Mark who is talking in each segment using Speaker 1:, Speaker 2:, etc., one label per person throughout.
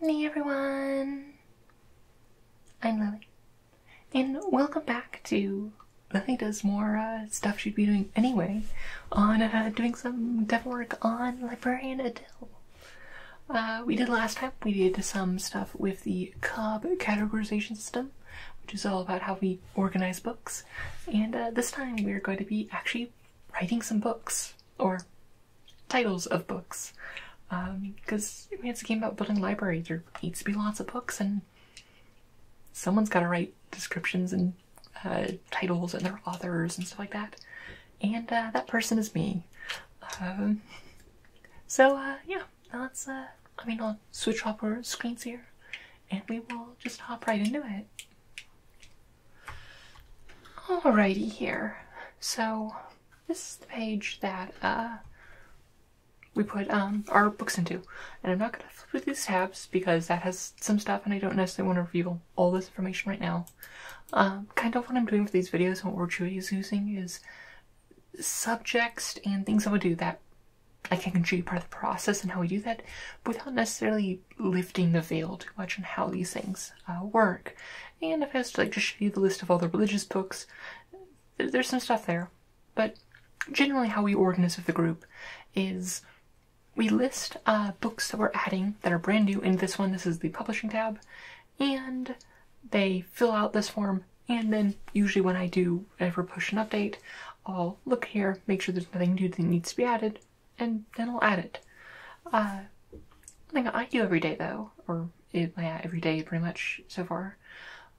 Speaker 1: Hey everyone! I'm Lily, and welcome back to Lily Does More uh, Stuff She'd Be Doing Anyway on uh, doing some dev work on Librarian Adele. Uh, we did last time, we did some stuff with the Cobb categorization system, which is all about how we organize books, and this time we're going to be actually writing some books or titles of books because um, I mean, it's a game about building libraries. There needs to be lots of books, and someone's got to write descriptions and uh, titles and their authors and stuff like that. And uh, that person is me. Um, so uh, yeah, let's. Uh, I mean, I'll switch off our screens here, and we will just hop right into it. Alrighty here. So this is the page that uh, we put um, our books into. And I'm not going to flip through these tabs because that has some stuff and I don't necessarily want to reveal all this information right now. Um, kind of what I'm doing for these videos and what we're using is subjects and things I would do that I can show you part of the process and how we do that without necessarily lifting the veil too much on how these things uh, work. And if I was to like just show you the list of all the religious books, there's some stuff there. But generally, how we organize with the group is we list uh, books that we're adding that are brand new in this one. This is the publishing tab, and they fill out this form. And then usually when I do ever push an update, I'll look here, make sure there's nothing new that needs to be added, and then I'll add it. Uh, thing I do every day though, or yeah, every day pretty much so far,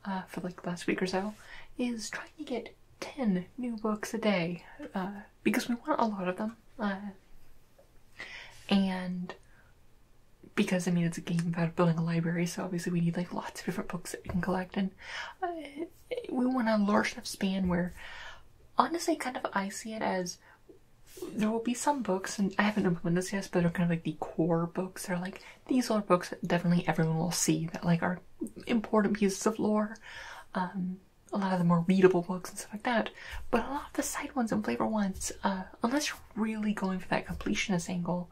Speaker 1: uh, for like last week or so, is trying to get 10 new books a day, uh, because we want a lot of them, uh, and because I mean it's a game about building a library, so obviously we need like lots of different books that we can collect, and we want a large enough span where, honestly, kind of I see it as there will be some books, and I haven't implemented this yet, but they're kind of like the core books. They're like these are books that definitely everyone will see that like are important pieces of lore. Um, a lot of the more readable books and stuff like that, but a lot of the side ones and flavor ones, uh, unless you're really going for that completionist angle,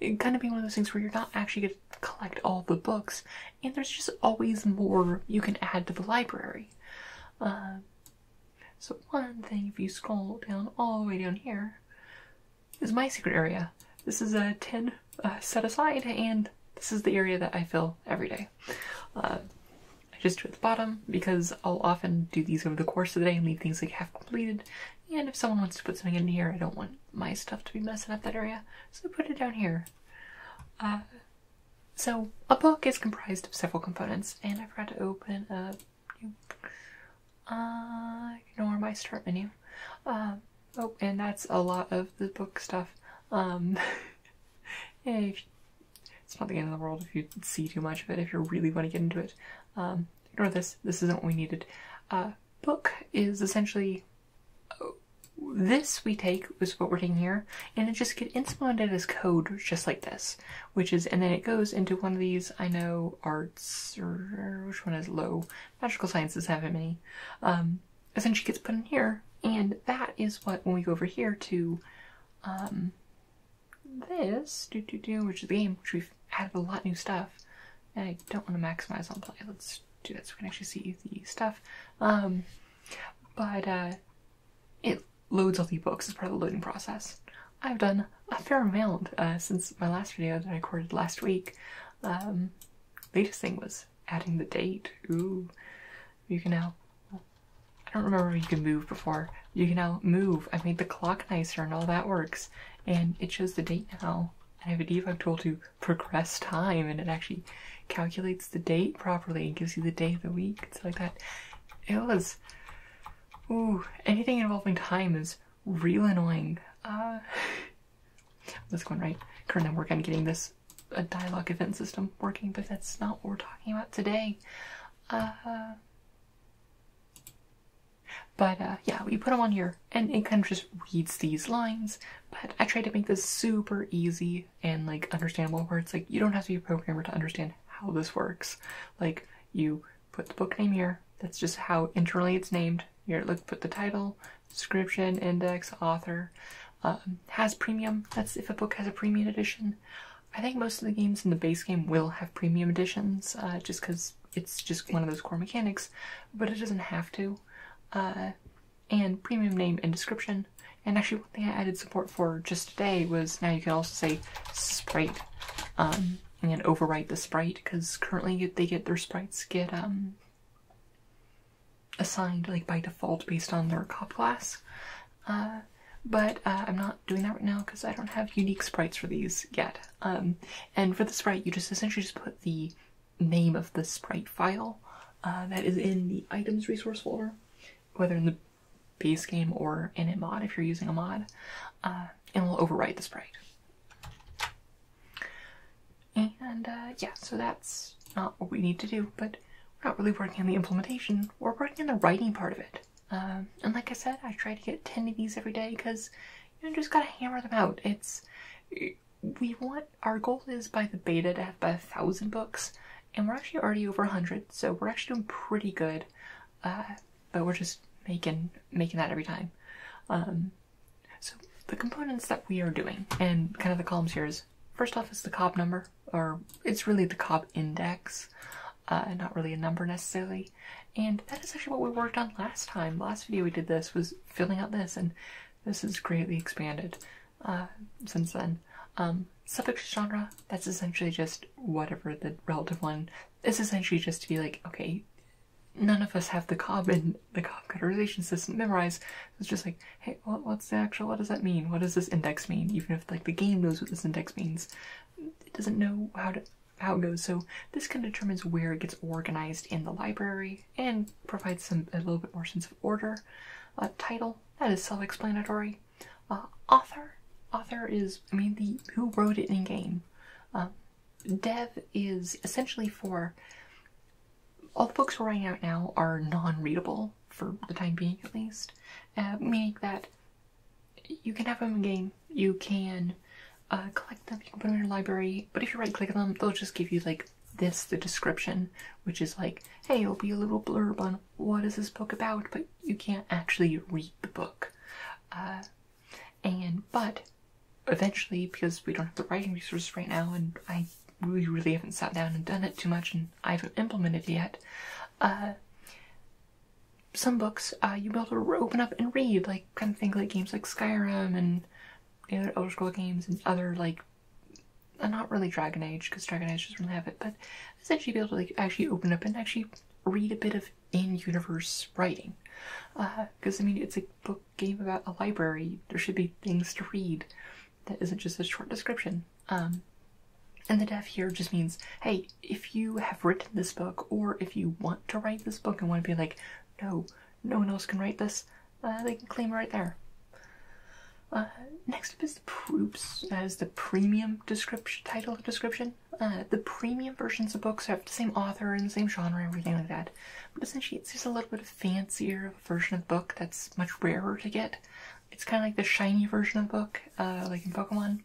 Speaker 1: it kind of being one of those things where you're not actually going to collect all the books, and there's just always more you can add to the library. Um, so one thing, if you scroll down all the way down here, is my secret area. This is a tin uh, set aside, and this is the area that I fill every day. Uh, I just do it at the bottom because I'll often do these over the course of the day and leave things like half completed. And if someone wants to put something in here, I don't want my stuff to be messing up that area, so I put it down here. Uh, so, a book is comprised of several components, and I forgot to open a new. Uh, ignore my start menu. Uh, oh, and that's a lot of the book stuff. Um, you, it's not the end of the world if you see too much of it, if you really want to get into it. Um, ignore this, this isn't what we needed. A uh, book is essentially oh, this we take is what we're taking here and it just gets implemented as code just like this which is and then it goes into one of these i know arts which one is low magical sciences haven't many um essentially gets put in here and that is what when we go over here to um this do do do which is the game which we've added a lot new stuff i don't want to maximize on play let's do that so we can actually see the stuff um but uh it loads all the books as part of the loading process. I've done a fair amount uh, since my last video that I recorded last week. Um, latest thing was adding the date. Ooh, you can now. I don't remember you can move before. You can now move. I made the clock nicer and all that works, and it shows the date now. I have a debug tool to progress time, and it actually calculates the date properly and gives you the day of the week it's like that. It was. Ooh, anything involving time is real annoying. Uh, this one, right? Currently, I work on getting this a dialogue event system working, but that's not what we're talking about today. Uh, but uh, yeah, we put them on here, and it kind of just reads these lines. But I tried to make this super easy and like understandable words, like you don't have to be a programmer to understand how this works. Like you put the book name here, that's just how internally it's named. Here look put the title, description, index, author. Um, has premium, that's if a book has a premium edition. I think most of the games in the base game will have premium editions, uh, just because it's just one of those core mechanics, but it doesn't have to. Uh, and premium name and description and actually, one thing I added support for just today was now you can also say Sprite um, and overwrite the Sprite because currently they get their sprites get um, assigned like by default based on their cop class. Uh, but uh, I'm not doing that right now because I don't have unique sprites for these yet. Um, and for the sprite, you just essentially just put the name of the sprite file uh, that is in the items resource folder, whether in the base game or in a mod if you're using a mod, uh, and we'll overwrite the sprite. And uh, yeah, so that's not what we need to do, but we're not really working on the implementation, we're working on the writing part of it. Um, and like I said, I try to get 10 of these every day because you just gotta hammer them out. It's, we want, our goal is by the beta to have about a thousand books and we're actually already over 100 so we're actually doing pretty good uh, but we're just making making that every time um, so the components that we are doing and kind of the columns here is first off is the cob number or it's really the cob index uh, not really a number necessarily and that is actually what we worked on last time last video we did this was filling out this and this is greatly expanded uh, since then. Um, suffix genre, that's essentially just whatever the relative one. It's essentially just to be like, okay, none of us have the cob and the cob categorization system memorized. It's just like, hey, what's the actual, what does that mean? What does this index mean? Even if like the game knows what this index means, it doesn't know how to how it goes. So this kind of determines where it gets organized in the library and provides some a little bit more sense of order. Uh, title, that is self-explanatory. Uh, author, author is I mean the who wrote it in game. Um, dev is essentially for all the books we writing out now are non-readable for the time being at least, uh, meaning that you can have them in game, you can uh, collect them, you can put them in your library, but if you right click on them, they'll just give you like this, the description, which is like, hey, it'll be a little blurb on what is this book about, but you can't actually read the book. Uh, and but eventually, because we don't have the writing resources right now, and I really, really haven't sat down and done it too much, and I haven't implemented it yet. Uh, some books uh, you will be able to open up and read, like kind of things like games like Skyrim and the other Elder Scroll games and other like uh, not really Dragon Age because Dragon Age doesn't have it, but essentially be able to like actually open up and actually read a bit of in-universe writing. Because uh, I mean, it's a book game about a library. There should be things to read that isn't just a short description. Um, and the dev here just means, hey, if you have written this book, or if you want to write this book and want to be like, no, no one else can write this, uh, they can claim right there. Uh, next up is the Proops as the premium title description. Uh, the premium versions of books have the same author and the same genre and everything like that. But essentially it's just a little bit of fancier version of book that's much rarer to get. It's kind of like the shiny version of book, uh, like in Pokemon.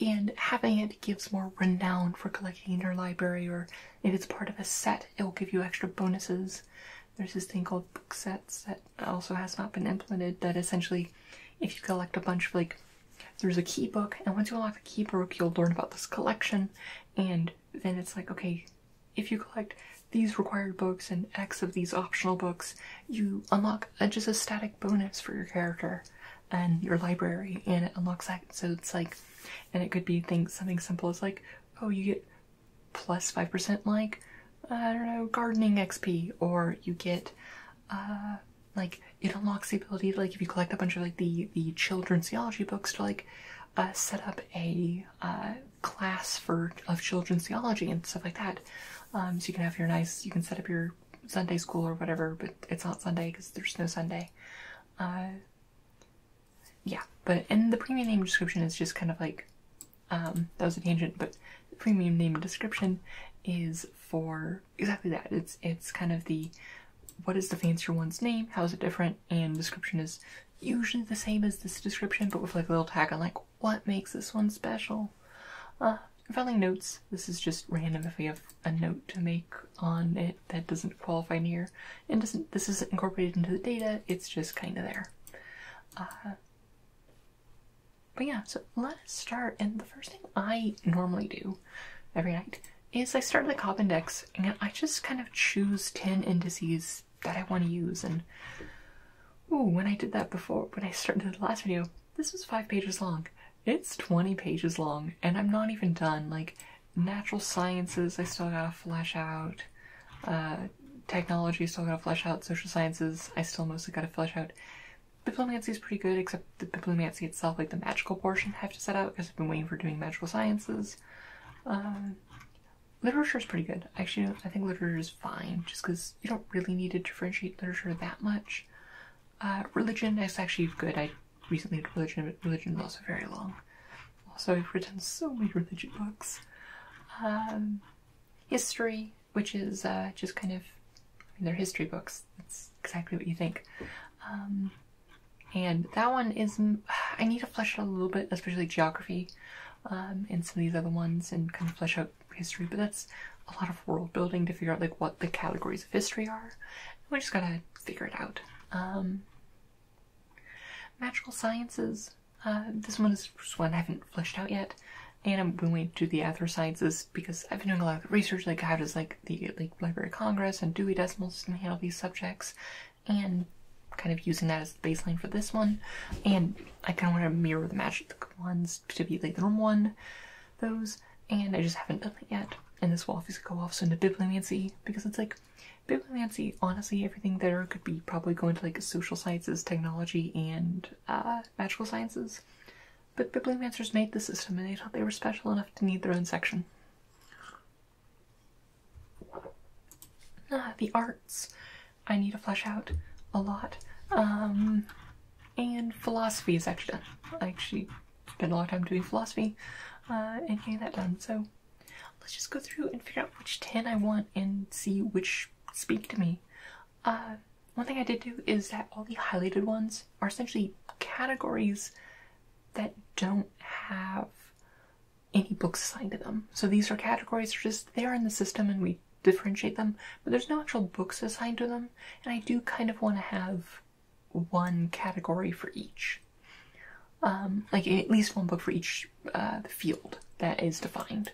Speaker 1: and having it gives more renown for collecting in your library or if it's part of a set, it will give you extra bonuses. There's this thing called book sets that also has not been implemented. That essentially, if you collect a bunch of like, there's a key book, and once you unlock the key book, you'll learn about this collection, and then it's like, okay, if you collect these required books and X of these optional books, you unlock just a static bonus for your character and your library, and it unlocks that. So it's like, and it could be things something simple is like, oh, you get plus 5% like, I don't know, gardening XP, or you get, uh, like, it unlocks the ability, like, if you collect a bunch of, like, the, the children's theology books to, like, uh, set up a, uh, class for, of children's theology and stuff like that. Um, so you can have your nice, you can set up your Sunday school or whatever, but it's not Sunday because there's no Sunday. Uh, yeah, but, and the premium name description is just kind of like um, that was a tangent, but premium name and description is for exactly that. It's it's kind of the what is the fancier one's name, how is it different, and description is usually the same as this description, but with like a little tag on like what makes this one special. Uh, filing notes. This is just random if we have a note to make on it that doesn't qualify near, and doesn't this isn't incorporated into the data. It's just kind of there. Uh, but yeah, so let us start. And the first thing I normally do every night is I start the a index and I just kind of choose 10 indices that I want to use. And ooh, when I did that before, when I started the last video, this was five pages long. It's 20 pages long and I'm not even done. Like natural sciences, I still gotta flesh out. Uh, technology still gotta flesh out, social sciences I still mostly gotta flesh out. Bibliomancy is pretty good, except the bibliomancy itself, like the magical portion, I have to set out because I've been waiting for doing magical sciences. Um, literature is pretty good. Actually, I think literature is fine, just because you don't really need to differentiate literature that much. Uh, religion is actually good. I recently did religion, but religion is also very long. Also, I've written so many religion books. Um, history, which is uh, just kind of their history books. That's exactly what you think. Um, and that one is I need to flesh out a little bit, especially geography, um, and some of these other ones, and kind of flesh out history. But that's a lot of world building to figure out like what the categories of history are. We just gotta figure it out. Um, magical sciences uh, this one is one I haven't fleshed out yet, and I'm going to do the other sciences because I've been doing a lot of research, like how does like the like Library of Congress and Dewey Decimal System handle these subjects, and kind of using that as the baseline for this one. And I kind of want to mirror the magic ones to be like the normal one, those, and I just haven't done it yet. And this will obviously go off into bibliomancy because it's like bibliomancy. Honestly, everything there could be probably going to like social sciences, technology, and uh, magical sciences, but bibliomancers made the system and they thought they were special enough to need their own section. Ah, the arts. I need to flesh out a lot. Um, and philosophy is actually I actually spent a lot of time doing philosophy uh, and getting that done. So let's just go through and figure out which 10 I want and see which speak to me. Uh, one thing I did do is that all the highlighted ones are essentially categories that don't have any books assigned to them. So these are categories that are just there in the system and we differentiate them, but there's no actual books assigned to them, and I do kind of want to have one category for each. Um, like at least one book for each uh, field that is defined.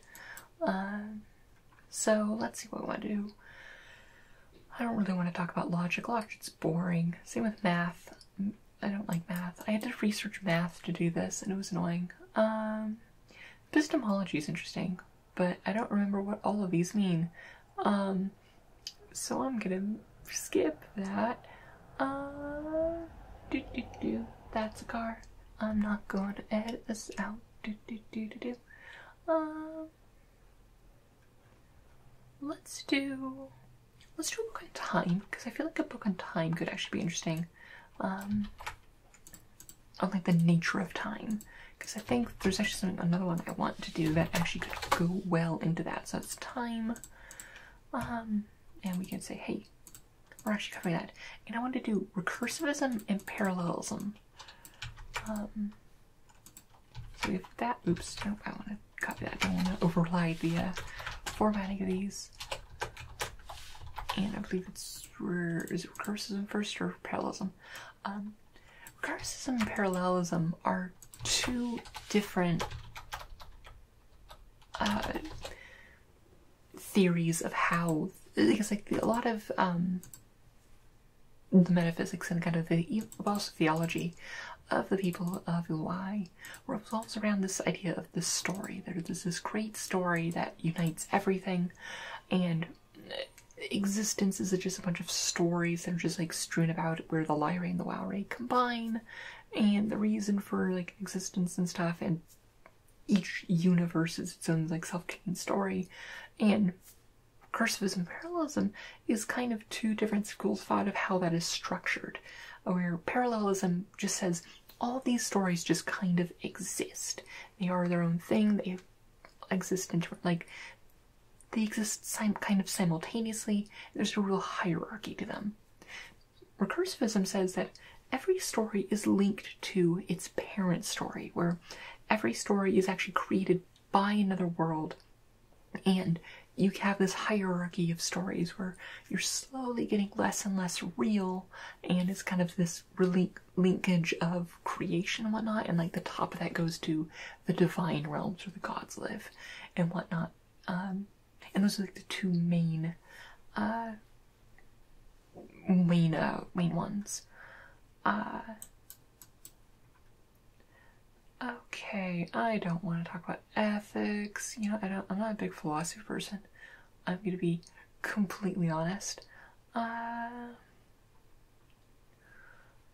Speaker 1: Uh, so let's see what we want to do. I don't really want to talk about logic. it's boring. Same with math. I don't like math. I had to research math to do this and it was annoying. Um, epistemology is interesting, but I don't remember what all of these mean. Um, so I'm gonna skip that. Uh, That's a car. I'm not going to edit this out do, do, do, do, do. Um, let's do let's do a book on time because I feel like a book on time could actually be interesting. Um, on like the nature of time because I think there's actually another one I want to do that actually could go well into that. So it's time, um, and we can say hey, we're actually covering that. And I want to do recursivism and parallelism. Um, so we have that. Oops, No, I want to copy that. I don't want to override the uh, formatting of these. And I believe it's, is it recursion first or parallelism? Um, recursion and parallelism are two different uh, theories of how because like a lot of um, the metaphysics and kind of the also theology of the people of Ulai revolves around this idea of this story. There's this great story that unites everything, and existence is just a bunch of stories that are just like strewn about where the Lyra and the Wauri combine, and the reason for like existence and stuff, and each universe is its own like self-contained story and recursivism parallelism is kind of two different schools of thought of how that is structured where parallelism just says all these stories just kind of exist they are their own thing they exist in like they exist kind of simultaneously there's a real hierarchy to them recursivism says that every story is linked to its parent story, where every story is actually created by another world. And you have this hierarchy of stories where you're slowly getting less and less real, and it's kind of this relink linkage of creation and whatnot. And like the top of that goes to the divine realms where the gods live and whatnot. Um, and those are like the two main uh, main uh, main ones. okay, I don't want to talk about ethics. You know, I don't. I'm not a big philosophy person. I'm gonna be completely honest. Uh,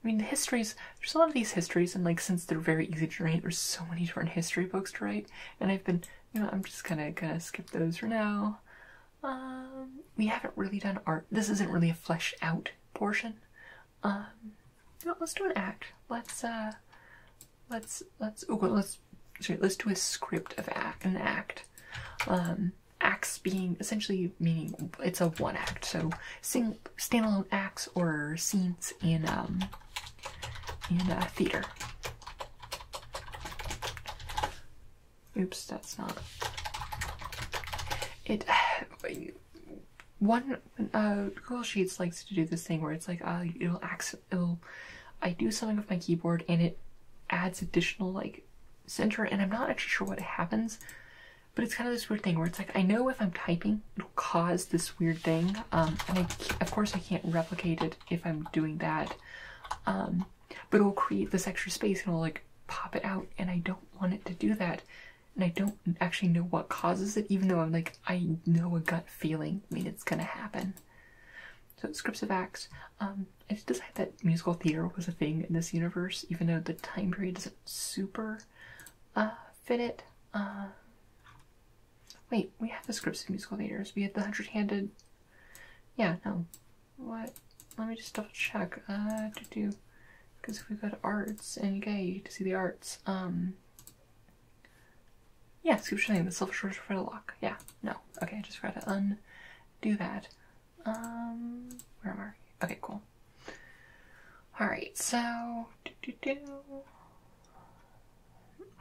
Speaker 1: I mean, the histories, there's a lot of these histories, and like, since they're very easy to write, there's so many different history books to write, and I've been, you know, I'm just kind of gonna skip those for now. Um, we haven't really done art. This isn't really a flesh out portion. Um, let's do an act. Let's uh, let's let's oh, well, sorry, let's do a script of act an act. Um, acts being essentially meaning it's a one act. So sing standalone acts or scenes in um in theater. Oops, that's not. It. One uh, Google Sheets likes to do this thing where it's like, uh, it'll accident, it'll. I do something with my keyboard and it adds additional like center, and I'm not actually sure what happens, but it's kind of this weird thing where it's like I know if I'm typing, it'll cause this weird thing, um, and I, of course I can't replicate it if I'm doing that, um, but it'll create this extra space and it'll like pop it out and I don't want it to do that and I don't actually know what causes it even though I'm like I know a gut feeling I mean it's gonna happen so scripts of acts um, I just decided that musical theater was a thing in this universe even though the time period doesn't super uh, fit it uh, wait we have the scripts of musical theaters we had the hundred-handed yeah, no. What? Let me just double check. Uh, to do. Because if we go to arts and UK, you get to see the arts. Um. Yeah, sculpture thing, the silver shores for the lock. Yeah, no. Okay, I just forgot to undo that. Um, where am I? Okay, cool. Alright, so. Do, do, do.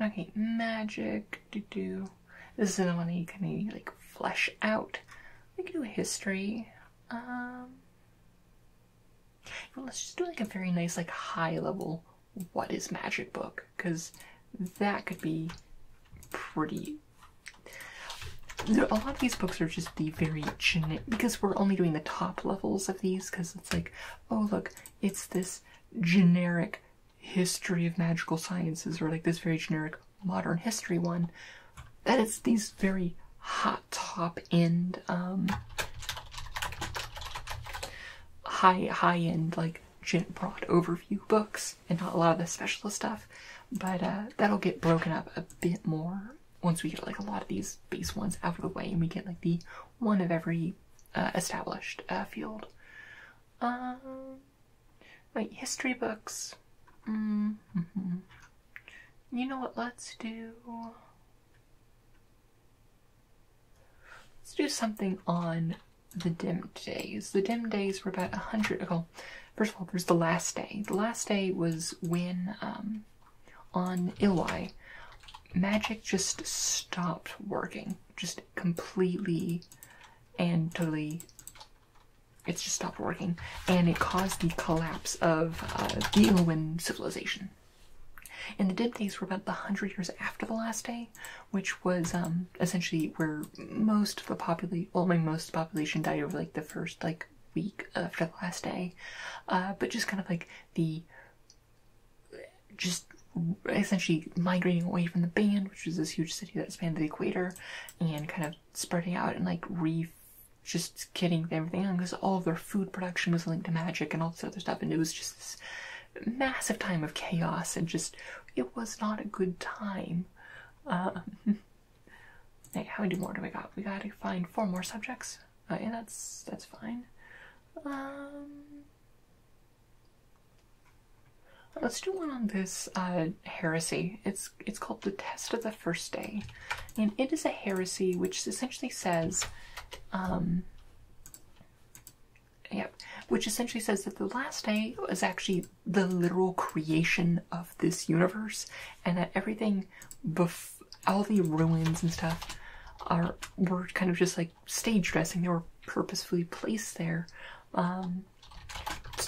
Speaker 1: Okay, magic. Do, do. This is the one you can like flesh out. We can do history. Um, let's just do like a very nice, like high level. What is magic book? Because that could be pretty. A lot of these books are just the very generic because we're only doing the top levels of these because it's like, oh look, it's this generic history of magical sciences or like this very generic modern history one, that it's these very hot top end, um, high high end like gent broad overview books, and not a lot of the specialist stuff. But uh, that'll get broken up a bit more once we get like a lot of these base ones out of the way, and we get like the one of every uh, established uh, field. Um, Right, history books. Mm-hmm. You know what? Let's do. Let's do something on the dim days. The dim days were about a hundred. ago. first of all, there's the last day. The last day was when um, on Illy, magic just stopped working, just completely and totally it's just stopped working, and it caused the collapse of uh, the Illawin civilization. And the Dipdays were about the hundred years after the last day, which was um, essentially where most of the population, well, I most population died over like the first like week after the last day, uh, but just kind of like the just essentially migrating away from the band, which was this huge city that spanned the equator, and kind of spreading out and like re just getting everything on because all of their food production was linked to magic and all this other stuff and it was just this massive time of chaos and just it was not a good time um hey how many more do we got we gotta find four more subjects uh, yeah that's that's fine um Let's do one on this uh, heresy. It's it's called the Test of the First Day, and it is a heresy which essentially says, um, yep, which essentially says that the last day is actually the literal creation of this universe, and that everything, all the ruins and stuff, are were kind of just like stage dressing. They were purposefully placed there. Um,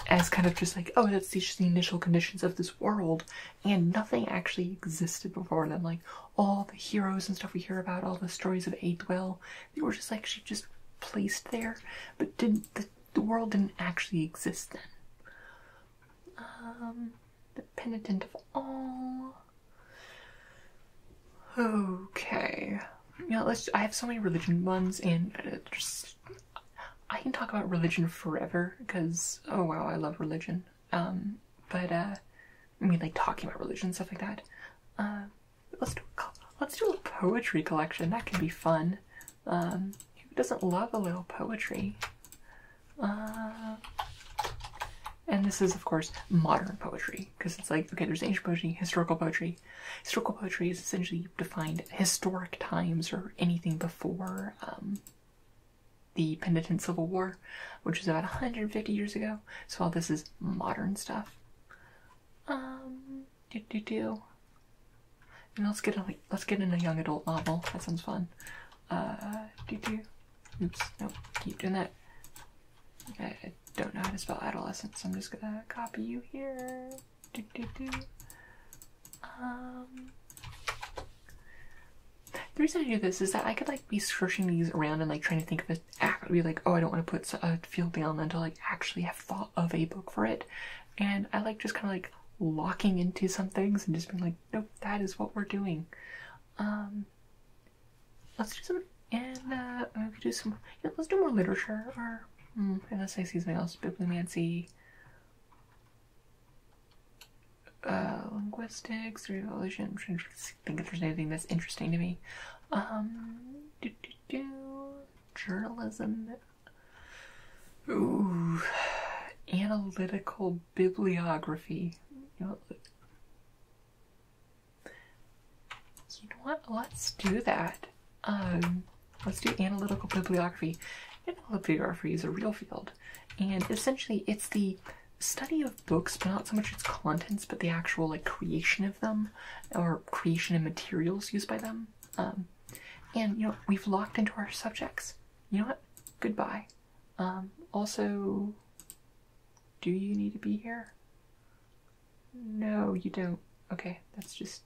Speaker 1: as kind of just like, oh, that's just the initial conditions of this world, and nothing actually existed before then. Like all the heroes and stuff we hear about, all the stories of Aedwell, they were just like she just placed there, but did the, world didn't actually exist then. Um, the penitent of all. Okay. yeah. let's. I have so many religion ones, and uh, just I can talk about religion forever because oh wow, I love religion. Um, but uh, I mean, like talking about religion stuff like that. Uh, let's do a, let's do a poetry collection. That could be fun. Um, who doesn't love a little poetry? Uh, and this is of course modern poetry because it's like okay, there's ancient poetry, historical poetry, Historical poetry is essentially defined historic times or anything before um, the Penitent Civil War, which was about 150 years ago. So all this is modern stuff. Um, let's get on. Let's get in a young adult novel. That sounds fun. Uh, Oops. Nope. Keep doing that. I don't know how to spell adolescent, so I'm just gonna copy you here. Um, the reason I do this is that I could like be searching these around and like trying to think of an act. would be like, oh, I don't want uh, to put a field down until like actually have thought of a book for it. And I like just kind of like locking into some things and just being like, nope, that is what we're doing. Um, let's do some and uh, we could do some. let's do more literature or mm, unless I see something else, bibliomancy. Uh, linguistics, revolution. I'm to think if there's anything that's interesting to me. Um, journalism. Ooh, analytical bibliography. you know what? Let's do that. Um, let's do analytical bibliography. Analytical bibliography is a real field, and essentially it's the study of books, but not so much its contents, but the actual like creation of them, or creation and materials used by them. Um, and you know we've locked into our subjects. You know what? Goodbye. Um, also, do you need to be here? No, you don't. Okay, that's just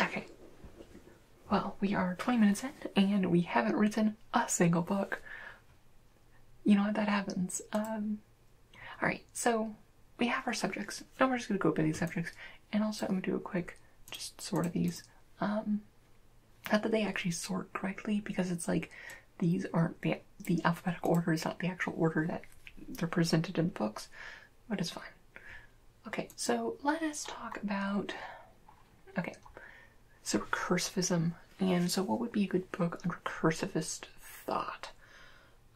Speaker 1: Okay. Well, we are 20 minutes in and we haven't written a single book. You know what? That happens. Um, Alright, so we have our subjects. Now we're just going to go over these subjects. And also, I'm going to do a quick just sort of these. Um, not that they actually sort correctly because it's like these aren't the, the alphabetical order is not the actual order that they're presented in the books, but it's fine. Okay, so let us talk about. Okay, so recursivism. And so, what would be a good book on recursivist thought?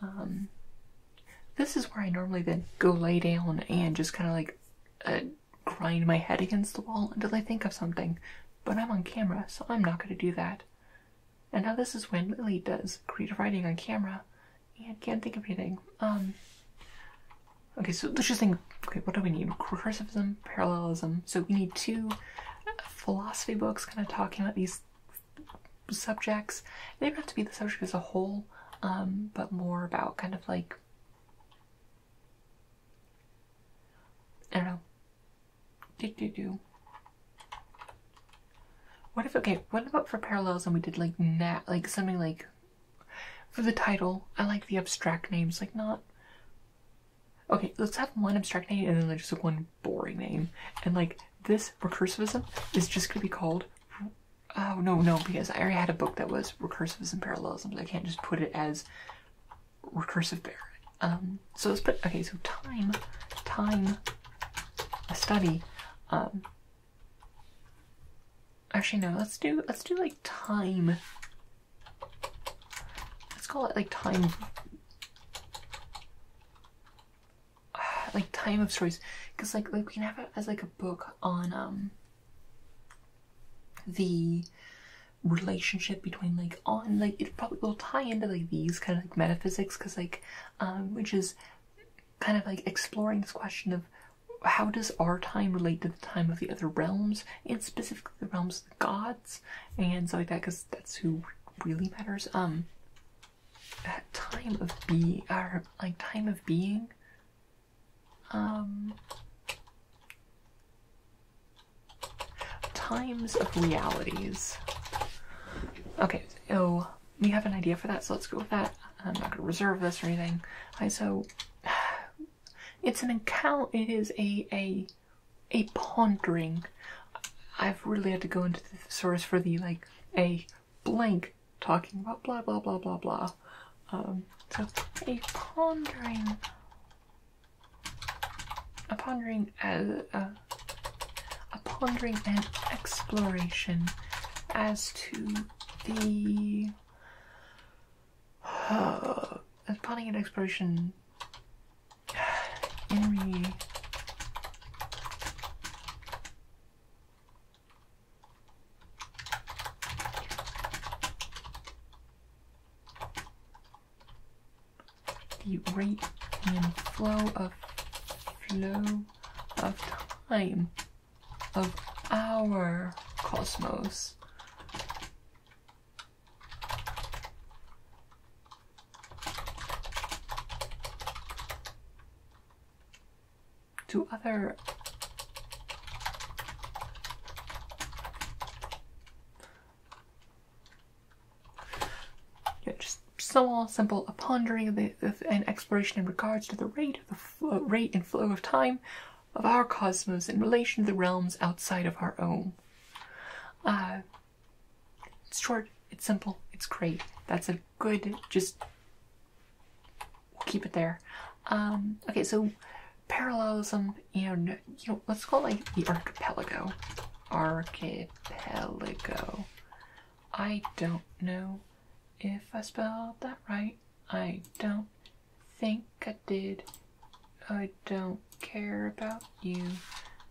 Speaker 1: Um, this is where I normally then go lay down and just kind of like uh, grind my head against the wall until I think of something. But I'm on camera, so I'm not going to do that. And now, this is when Lily does creative writing on camera. I can't think of anything. Um. Okay, so let's just think. Okay, what do we need? Recursivism, parallelism. So we need two philosophy books, kind of talking about these subjects. They don't have to be the subject as a whole, um, but more about kind of like I don't know. Do do do. What if okay? What about for parallels? And we did like nat, like something like for the title. I like the abstract names, like not. Okay, let's have one abstract name and then like, just like one boring name, and like this recursivism is just gonna be called. Oh no no because I already had a book that was recursivism parallels. I can't just put it as recursive bear. Um, so let's put okay. So time, time, a study. Um, Actually no, let's do let's do like time. Let's call it like time like time of stories, because like, like we can have it as like a book on um the relationship between like on like it probably will tie into like these kind of like metaphysics because like um which is kind of like exploring this question of how does our time relate to the time of the other realms, and specifically the realms of the gods and stuff like that, because that's who really matters. Um, time of be our like time of being. Um, times of realities. Okay, so we have an idea for that, so let's go with that. I'm not going to reserve this or anything. Right, so it's an account. It is a a a pondering. I've really had to go into the source for the like a blank talking about blah blah blah blah blah. Um, so a pondering, a pondering as a, uh, a pondering and exploration as to the uh, as planning and exploration Henry the rate and flow of flow of time of our cosmos. to other just so simple a pondering the, the, and exploration in regards to the rate of the rate and flow of time of our cosmos in relation to the realms outside of our own. Uh, it's short, it's simple, it's great. That's a good, just we'll keep it there. Um, okay, so parallelism and, you know, let's call it like the archipelago. Archipelago. I don't know if I spell that right. I don't think I did. I don't care about you.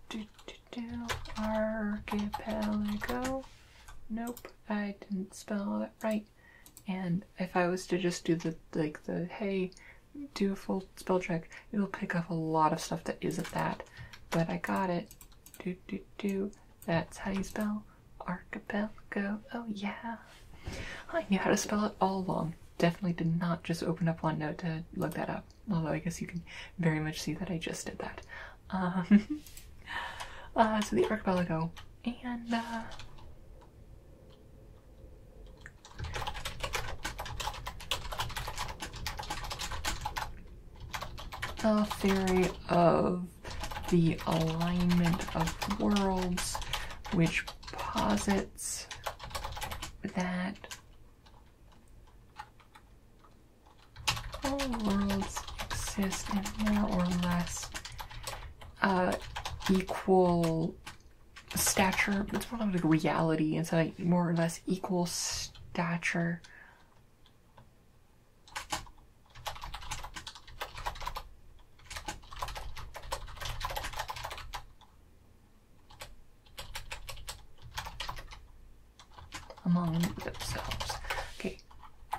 Speaker 1: Do do do archipelago. Nope, I didn't spell that right. And if I was to just do the like the hey, do a full spell check, it'll pick up a lot of stuff that isn't that. But I got it. Do do do. That's how you spell Archipelago. Oh, yeah. I knew how to spell it all along. Definitely did not just open up one note to look that up. Although I guess you can very much see that I just did that. Um, uh, so the archipelago. And, uh, a theory of the alignment of worlds, which posits that all worlds exist in more or less uh, equal stature. It's more like reality, It's like more or less equal stature among themselves. Okay,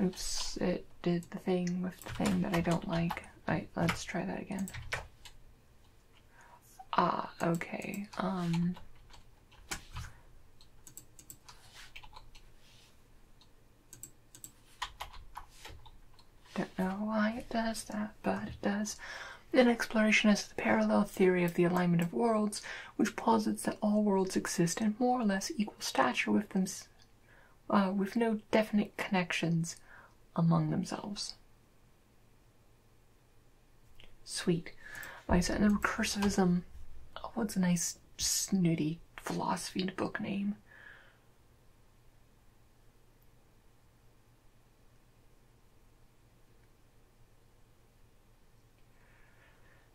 Speaker 1: oops, it did the thing with the thing that I don't like. Right, let's try that again. Ah, okay, um... Don't know why it does that, but it does. Then exploration is the parallel theory of the alignment of worlds, which posits that all worlds exist in more or less equal stature with them, uh, with no definite connections among themselves. Sweet. By and then recursivism, oh, what's a nice snooty philosophy book name.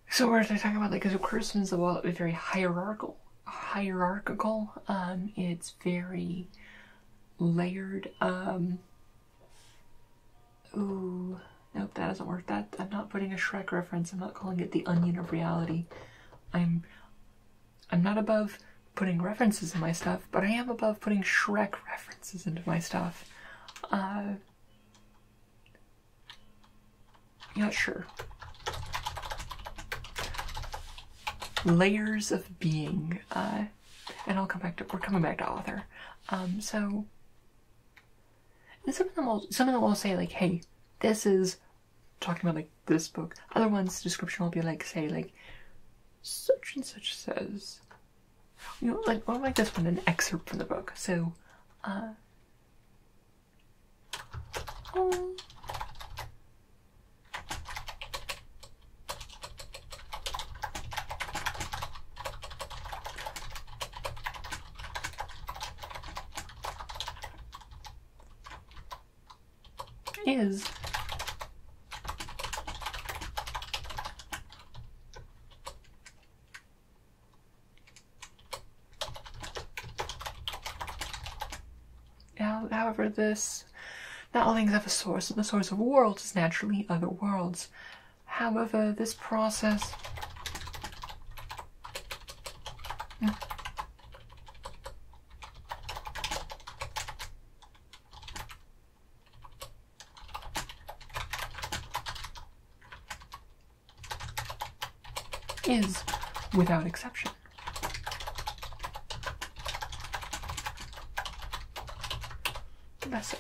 Speaker 1: So we're talking about like, so Christmas is well, very hierarchical, hierarchical. Um, it's very layered. Um, ooh, nope, that doesn't work. That I'm not putting a Shrek reference. I'm not calling it the onion of reality. I'm I'm not above putting references in my stuff, but I am above putting Shrek references into my stuff. Uh yeah, sure. Layers of being, uh, and I'll come back to. We're coming back to author. Um, so, some of them will, some of them will say like, "Hey, this is talking about like this book. Other ones, description will be like, say, like such and such says, you know, like or like this one, an excerpt from the book. So, uh, is However, this not all things have a source, and the source of worlds is naturally other worlds. However, this process is without exception. Lesser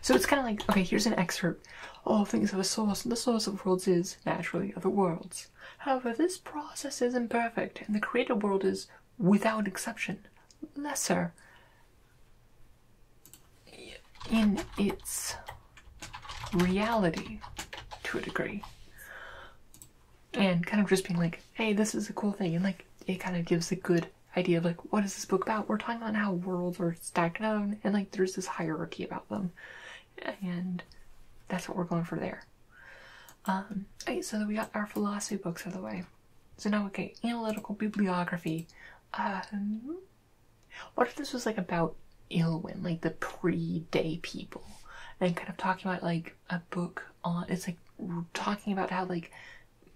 Speaker 1: So it's kind of like okay, here's an excerpt. All things have a source, and the source of worlds is naturally other worlds. However, this process is imperfect, and the created world is, without exception, lesser in its reality to a degree. And kind of just being like, hey, this is a cool thing, and like it kind of gives a good idea of like what is this book about? We're talking about how worlds are stacked down and like there's this hierarchy about them and that's what we're going for there. Um, Hey, so we got our philosophy books out of the way. So now, okay, analytical bibliography. Um, what if this was like about Ilwin, like the pre-day people, and kind of talking about like a book on? It's like talking about how like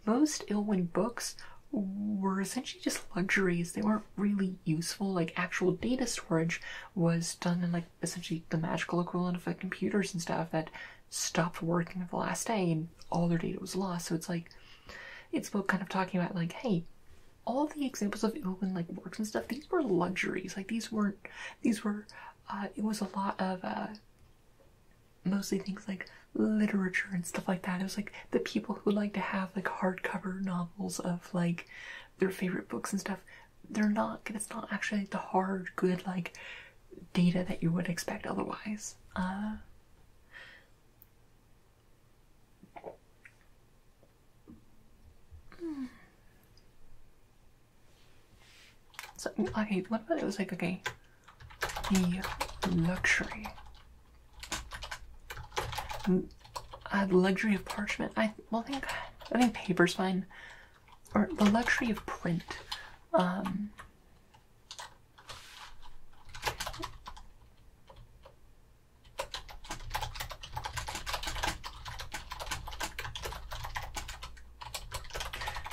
Speaker 1: most Ilwin books were essentially just luxuries. They weren't really useful. Like actual data storage was done in like essentially the magical equivalent of like computers and stuff that stopped working the last day and all their data was lost. So it's like it's about kind of talking about like, hey, all the examples of Ilwin like works and stuff, these were luxuries. Like these weren't these were uh, it was a lot of uh, mostly things like literature and stuff like that. It was like the people who like to have like hardcover novels of like their favorite books and stuff, they're not, it's not actually the hard, good, like, data that you would expect otherwise. Uh, okay, what about it was like, okay, the luxury uh, the luxury of parchment. I well think I think paper's fine, or the luxury of print. Um,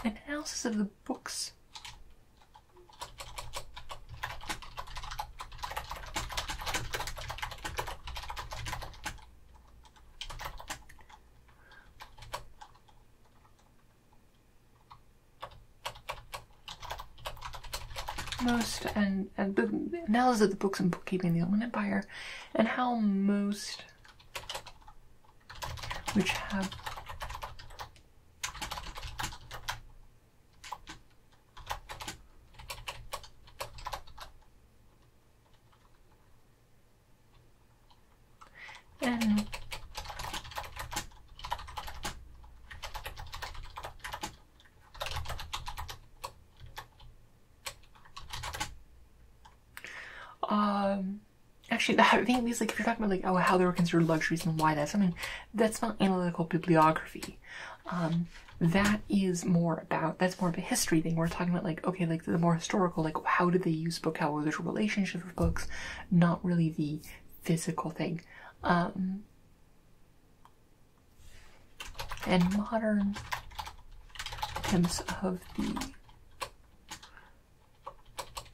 Speaker 1: analysis of the books most and, and the analysis of the books and bookkeeping in the Ottoman Empire and how most which have um, actually, the thing is, like if you're talking about like oh how they were considered luxuries and why that's mean, that's not analytical bibliography. Um, that is more about that's more of a history thing. We're talking about like okay, like the more historical, like how did they use book? How were their relationships with books? Not really the physical thing. Um, and modern attempts of the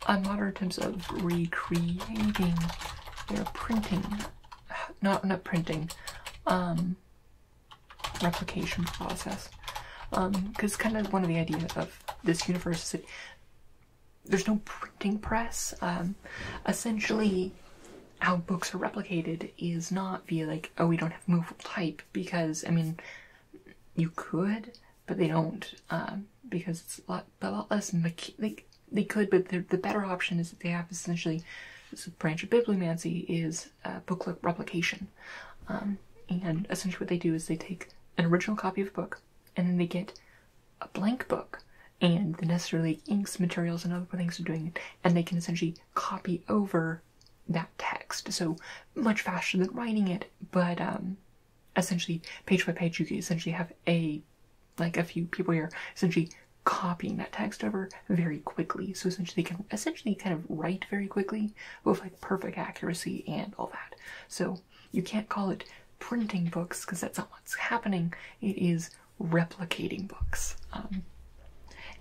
Speaker 1: uh, modern attempts of recreating their printing, not not printing, um, replication process. Because um, kind of one of the ideas of this universe is that there's no printing press. Um, essentially, how books are replicated is not via like, oh, we don't have movable type, because I mean, you could, but they don't, um, because it's a lot, a lot less. they, they could, but the better option is that they have essentially. This branch of bibliomancy is is uh, booklet replication. Um, and essentially, what they do is they take an original copy of a book and then they get a blank book and the necessary inks, materials, and other things are doing it, and they can essentially copy over that text. So much faster than writing it, but um, essentially, page by page, you can essentially have a like a few people here essentially copying that text over very quickly. So essentially, they can essentially kind of write very quickly with like perfect accuracy and all that. So you can't call it printing books because that's not what's happening. It is replicating books. Um,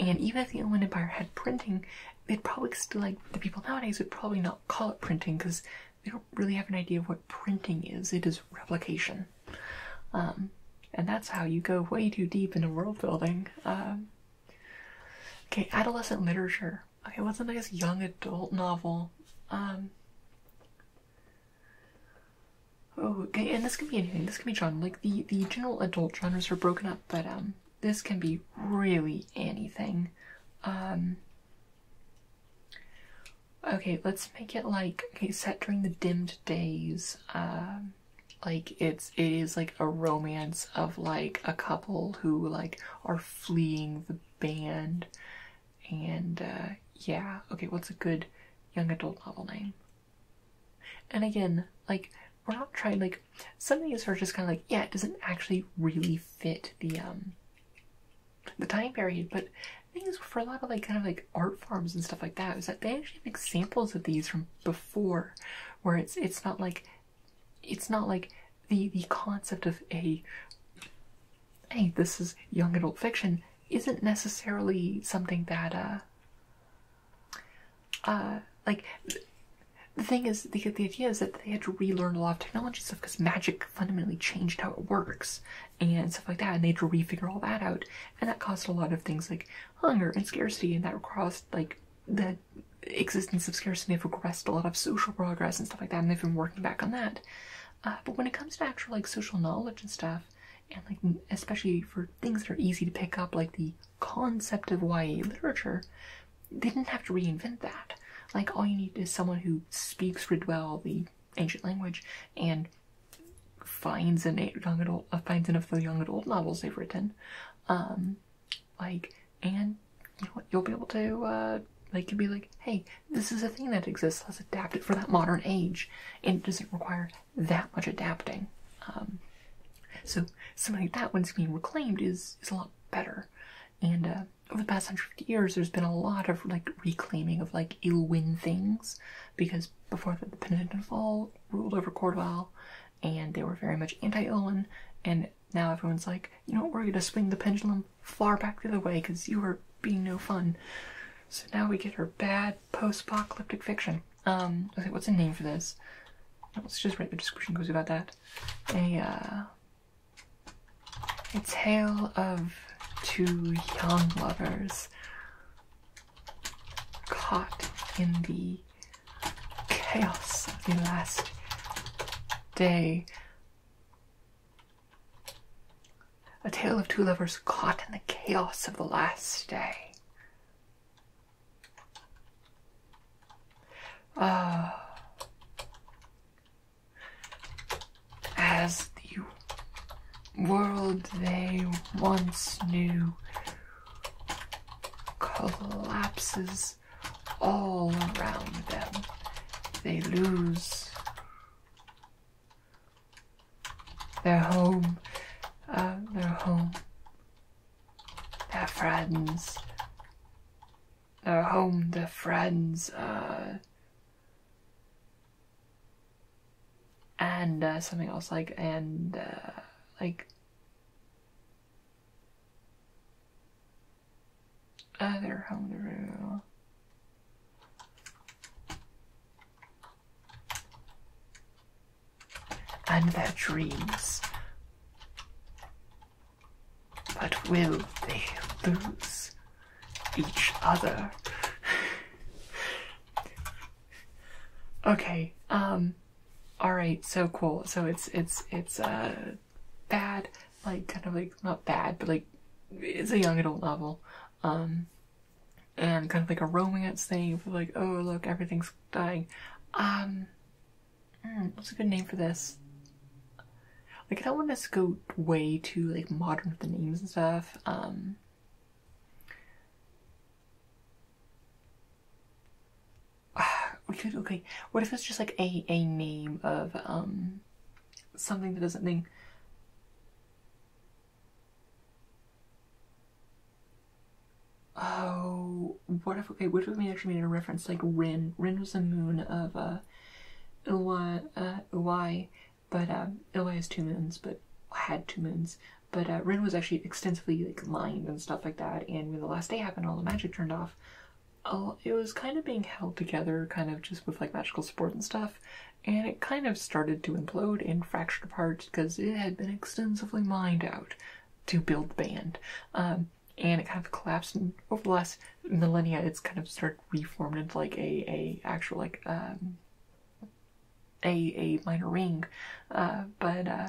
Speaker 1: and even if the Inland Empire had printing, they'd probably still like the people nowadays would probably not call it printing because they don't really have an idea of what printing is. It is replication. Um, and that's how you go way too deep into world building. Um, Okay, adolescent literature. Okay, what's a nice young adult novel? Um. Oh, okay, and this can be anything. This can be genre. Like the the general adult genres are broken up, but um, this can be really anything. Um. Okay, let's make it like okay, set during the dimmed days. Um like it's it is like a romance of like a couple who like are fleeing the band and uh yeah okay what's a good young adult novel name and again like we're not trying like some of these are just kind of like yeah it doesn't actually really fit the um the time period but things for a lot of like kind of like art forms and stuff like that is that they actually have examples of these from before where it's it's not like it's not like the the concept of a hey this is young adult fiction isn't necessarily something that uh, uh like the thing is the the idea is that they had to relearn a lot of technology stuff because magic fundamentally changed how it works and stuff like that and they had to refigure all that out and that caused a lot of things like hunger and scarcity and that caused like the existence of scarcity have progressed a lot of social progress and stuff like that, and they've been working back on that. Uh, but when it comes to actual like social knowledge and stuff, and like especially for things that are easy to pick up, like the concept of YA literature, they didn't have to reinvent that. Like all you need is someone who speaks really well the ancient language and finds an young adult uh, finds enough of the young adult novels they've written, um like and you know what you'll be able to uh, like you'll be like hey this is a thing that exists let's adapt it for that modern age and it doesn't require that much adapting um so something like that when being reclaimed is is a lot better and uh, over the past 150 years there's been a lot of like reclaiming of like ill wind things because before the, the penitent fall ruled over Cordoval and they were very much anti-Olin, and now everyone's like, you know, we're gonna swing the pendulum far back the other way because you were being no fun. So now we get her bad post-apocalyptic fiction. Um, what's the name for this? Let's just write the description goes about that. A, uh, a tale of two young lovers caught in the chaos of the last day. A tale of two lovers caught in the chaos of the last day. Uh, as the world they once knew collapses all around them. They lose their home, uh, their home, their friends, their home, their friends, uh, and uh, something else like and uh, like other Homebrew. And their dreams. But will they lose each other? okay, um all right so cool so it's it's it's uh bad like kind of like not bad but like it's a young adult novel um and kind of like a romance thing like oh look everything's dying um hmm, what's a good name for this like i don't want us to go way too like modern with the names and stuff um we could okay. What if it's just like a a name of um something that doesn't mean Oh, what if okay? What if we actually made a reference like Rin? Rin was a moon of uh, Ilwai, uh, Ilwai but um, has two moons, but had two moons. But uh, Rin was actually extensively like mined and stuff like that. And when the last day happened, all the magic turned off. All, it was kind of being held together, kind of just with like magical support and stuff. And it kind of started to implode and fracture apart because it had been extensively mined out to build the band. Um, and it kind of collapsed and over the last millennia it's kind of started reformed into like a, a actual like um a a minor ring. Uh, but uh,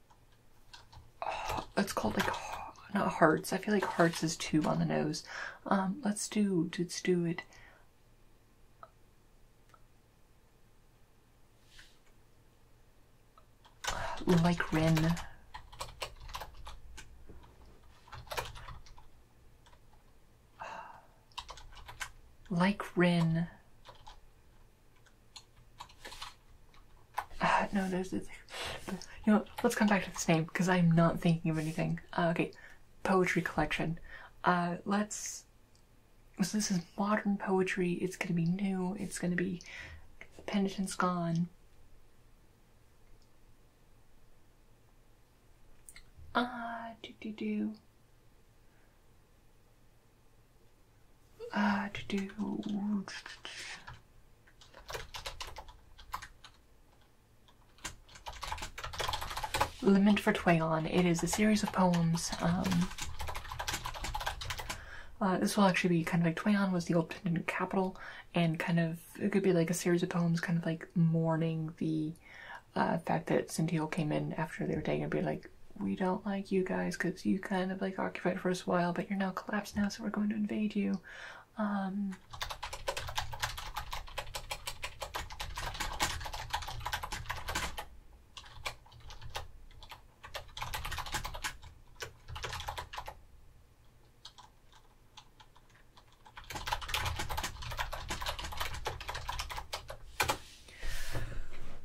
Speaker 1: it's called like not hearts. I feel like hearts is two on the nose. Um, let's do let's do it. Like Rin. Like Rin. Uh, no, there's this. You know, let's come back to this name because I'm not thinking of anything. Uh, okay, poetry collection. Uh, let's. So this is modern poetry. It's gonna be new. It's gonna be penitence gone. Ah, do do do. Ah, do do. Lament for Twayon. It is a series of poems. Um, uh, this will actually be kind of like Twayon was the old Pendant capital, and kind of it could be like a series of poems, kind of like mourning the uh, fact that Cynthia came in after they were taken and be like, we don't like you guys because you kind of like occupied for a while, but you're now collapsed now, so we're going to invade you to um,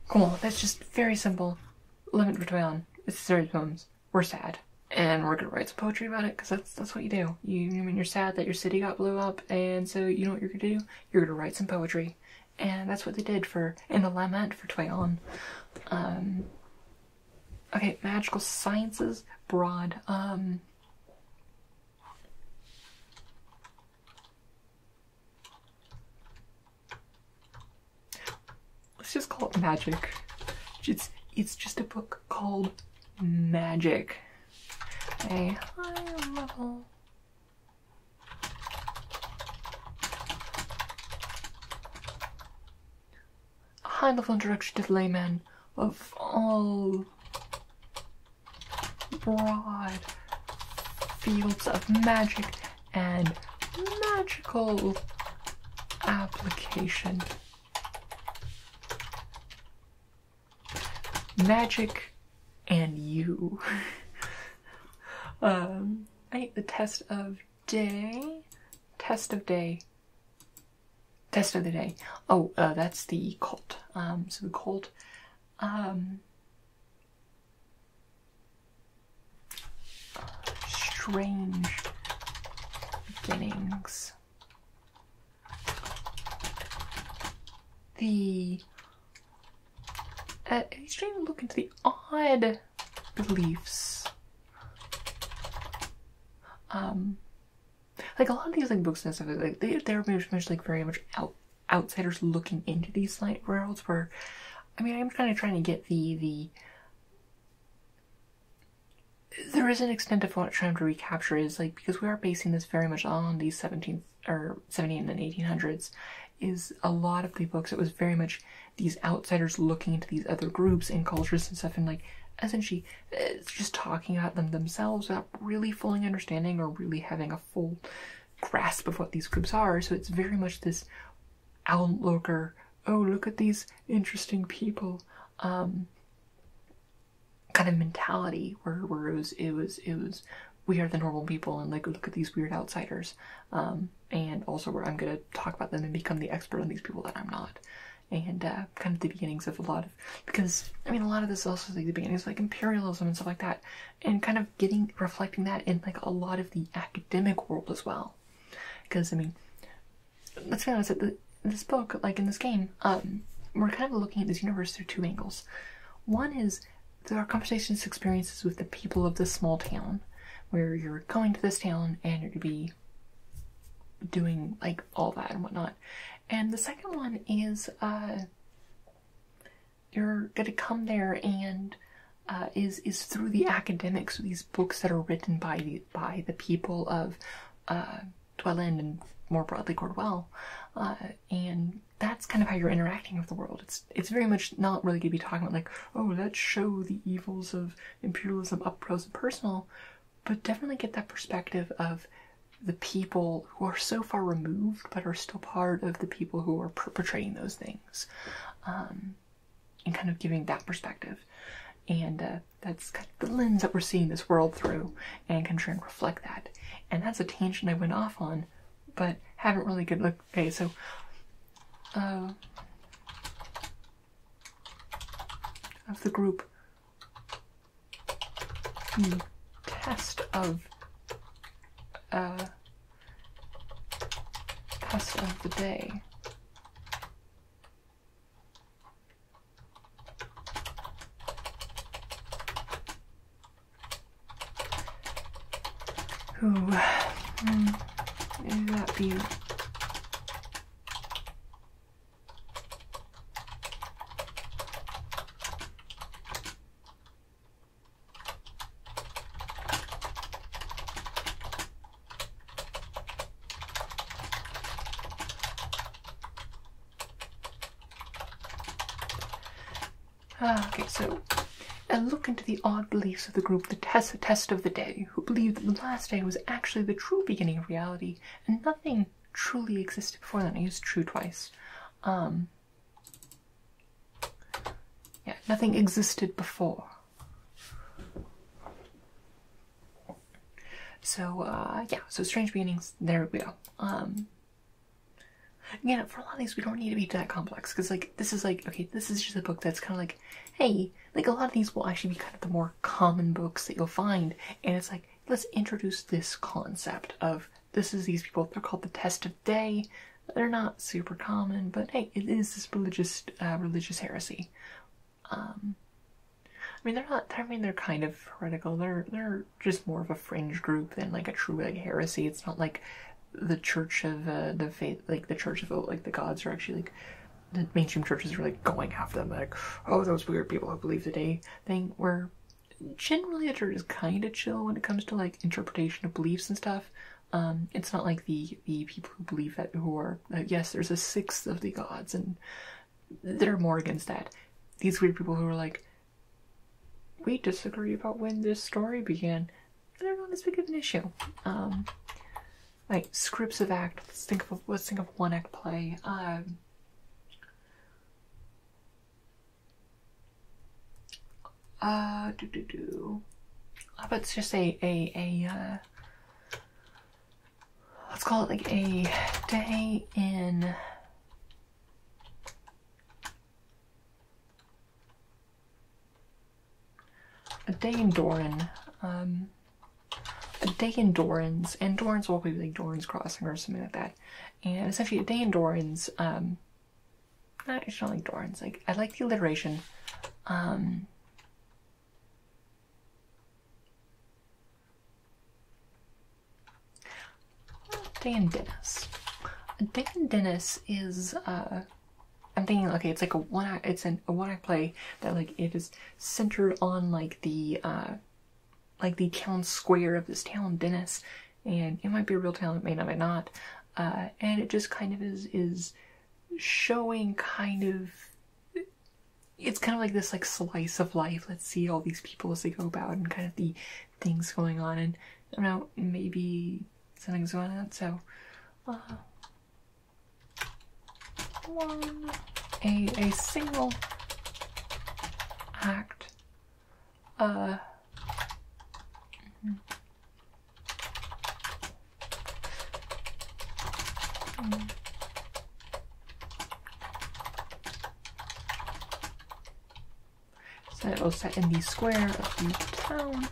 Speaker 1: Cool, that's just very simple. Limit for It's a series of we're sad and we're gonna write some poetry about it because that's that's what you do. You I mean you're sad that your city got blew up and so you know what you're gonna do? You're gonna write some poetry. And that's what they did for in the lament for Twayon. Um, okay, magical sciences broad. Um, Let's just call it magic. It's it's just a book called Magic. A high level high level introduction to the layman of all broad fields of magic and magical application. Magic and you. um, I need the test of day. Test of day. Test of the day. Oh, uh, that's the cult. Um, so the cult. Um, strange beginnings. The uh, he's trying look into the odd beliefs. Um, like a lot of these like books and stuff, like they they're very much like very much out, outsiders looking into these like worlds. Where, I mean, I'm kind of trying to get the the there is an extent of what trying to recapture is like because we are basing this very much on these 17th or 17 and 1800s is a lot of the books it was very much these outsiders looking into these other groups and cultures and stuff and like essentially eh, just talking about them themselves without really fully understanding or really having a full grasp of what these groups are so it's very much this outlooker. Oh, look at these interesting people. Um, kind of mentality where, where it was it was it was we are the normal people and like look at these weird outsiders. Um, and also where I'm gonna talk about them and become the expert on these people that I'm not. And uh, kind of the beginnings of a lot of because I mean a lot of this also like the beginnings of, like imperialism and stuff like that, and kind of getting reflecting that in like a lot of the academic world as well, because I mean let's be honest, the, this book, like in this game, um, we're kind of looking at this universe through two angles. One is there are conversations, experiences with the people of this small town, where you're going to this town and you're to be doing like all that and whatnot. And the second one is uh, you're gonna come there and uh, is is through the academics, these books that are written by these by the people of uh, and more broadly Cordwell, uh, and that's kind of how you're interacting with the world. It's it's very much not really going to be talking about like, oh, let's show the evils of imperialism up close and personal, but definitely get that perspective of the people who are so far removed but are still part of the people who are perpetrating those things. Um, and kind of giving that perspective. And uh, that's the lens that we're seeing this world through and can try and reflect that. And that's a tangent I went off on, but haven't really good look. Okay, so. Uh, of the group hmm. test of uh, test of the day Ooh, mm, maybe that be Ah, okay, so a look into the odd beliefs of the group, the test, of the day, who believed that the last day was actually the true beginning of reality, and nothing truly existed before that. I used true twice. Um, yeah, nothing existed before. So uh, yeah, so strange beginnings. There we go. Um, yeah, for a lot of these we don't need to be that complex because like this is like okay, this is just a book that's kind of like hey, like a lot of these will actually be kind of the more common books that you'll find, and it's like let's introduce this concept of this is these people. They're called the Test of Day. They're not super common, but hey, it is this religious uh, religious heresy. Um, I mean, they're not. I mean, they're kind of heretical. They're they're just more of a fringe group than like a true like heresy. It's not like the Church of uh, the faith, like the Church of like the gods are actually like the mainstream churches are like going after them. Like, oh, those weird people who believe the day thing. Where generally the church is kind of chill when it comes to like interpretation of beliefs and stuff. Um, it's not like the the people people who believe that who are uh, yes, there's a sixth of the gods, and they're more against that. These weird people who are like, we disagree about when this story began. I don't know this big of an issue. Um, like scripts of act. Let's think of let's think of one act play. Um, uh, do do do. How about just a a a uh, let's call it like a day in a day in Doran. Um, a day in Doran's, and Doran's will be like Doran's Crossing or something like that. And essentially, a day in Doran's. Um, I just don't like Doran's. Like I like the alliteration. Um, Dan Dennis. Dan Dennis is uh I'm thinking okay, it's like a one act it's an a one act play that like it is centered on like the uh like the town square of this town, Dennis, and it might be a real town, it may not, it not. Uh, and it just kind of is is showing kind of it's kind of like this like slice of life. Let's see all these people as they go about and kind of the things going on. And I don't know, maybe something's going on. So, uh, a a single act. Uh, Mm. So set in the square of the town.